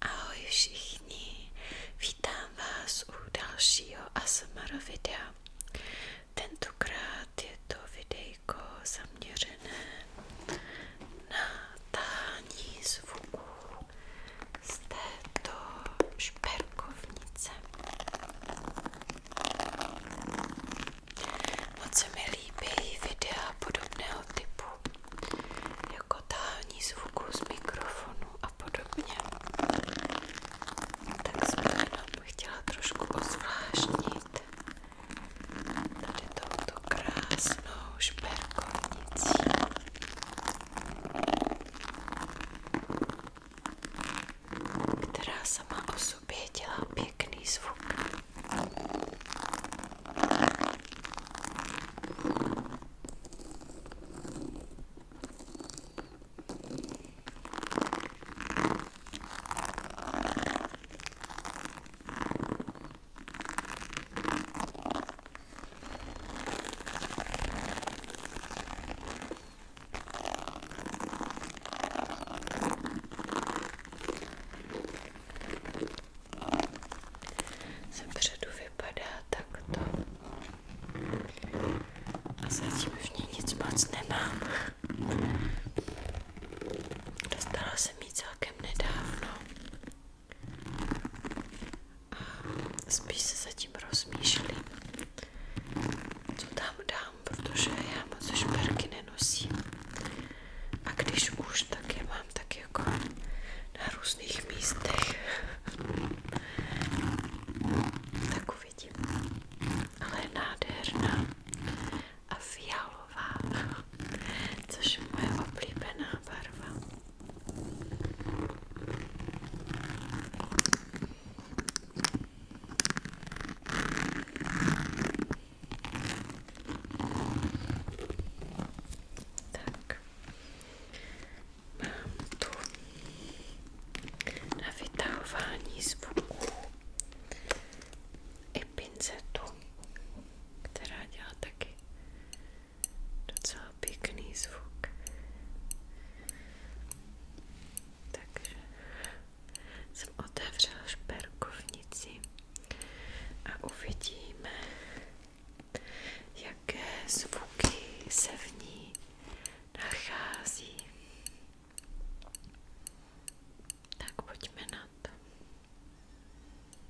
Ahoj všichni, vítám vás u dalšího ASMR videa. Tentokrát je to videjko zaměřené na tání zvuku z této šperkovnice. Moc se mi líbí videa podobného typu, jako tání zvuku z mikrofonu a podobně. Tak jsem jenom chtěla trošku ozvláštnit tady touto krásnou šperkovnicí která sama o sobě dělá pěkný zvuk. Ze předu vypadá takto. A zatím v ní nic moc nemám. Dostala jsem ji celkem nedávno. A spíš se zatím rozmýšlím, co tam dám, protože já moc šperky nenosím. A když už, tak je mám tak jako na různých místech. tak uvidím. Ale je nádherná a fialová, což je moje oblíbená barva. Tak. Mám tu na vytahování zvuků i pincetu, která dělá taky docela pěkný zvuk. Takže jsem otevřela šperkovnici a uvidíme, jaké zvuky se v ní nachází. Tak pojďme na to.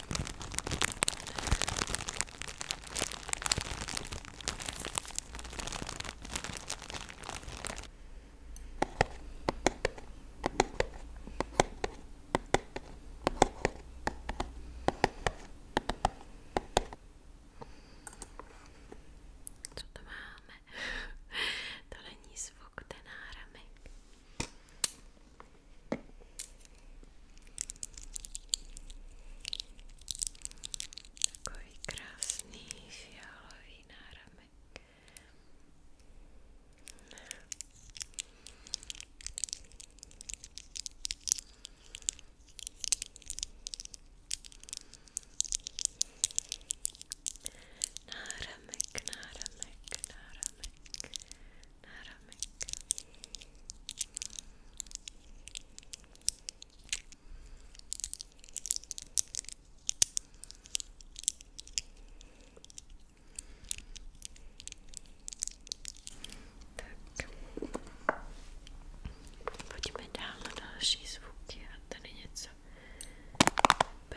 Co to máme? to není zvuk ten náramek. Takový krásný fialový náramek. Náramek, náramek, náramek náramek. Tak. Pojďme dál na další zvuky a tady něco. B.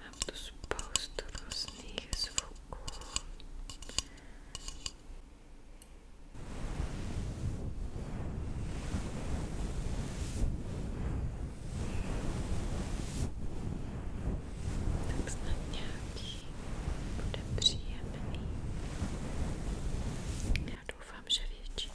Mám tu spoustu různých zvuků. Tak snad nějaký bude příjemný. Já doufám, že většina.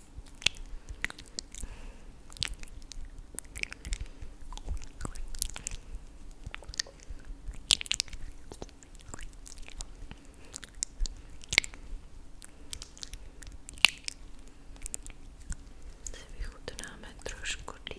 Si vychutnáme trošku dýcha.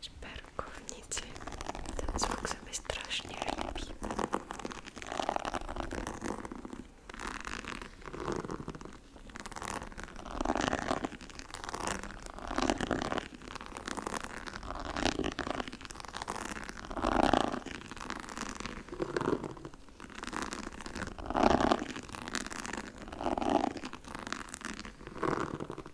szperkownicy. Ten zwłok sobie strasznie lubi.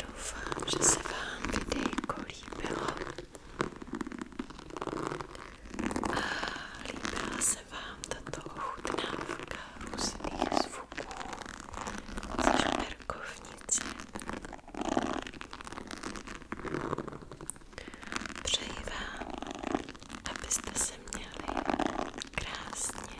Doufám, že se vám kdykoliv líbilo a líbila se vám tato ochutnávka různých zvuků zvuků z šperkovnice. Přeji vám, abyste se měli krásně.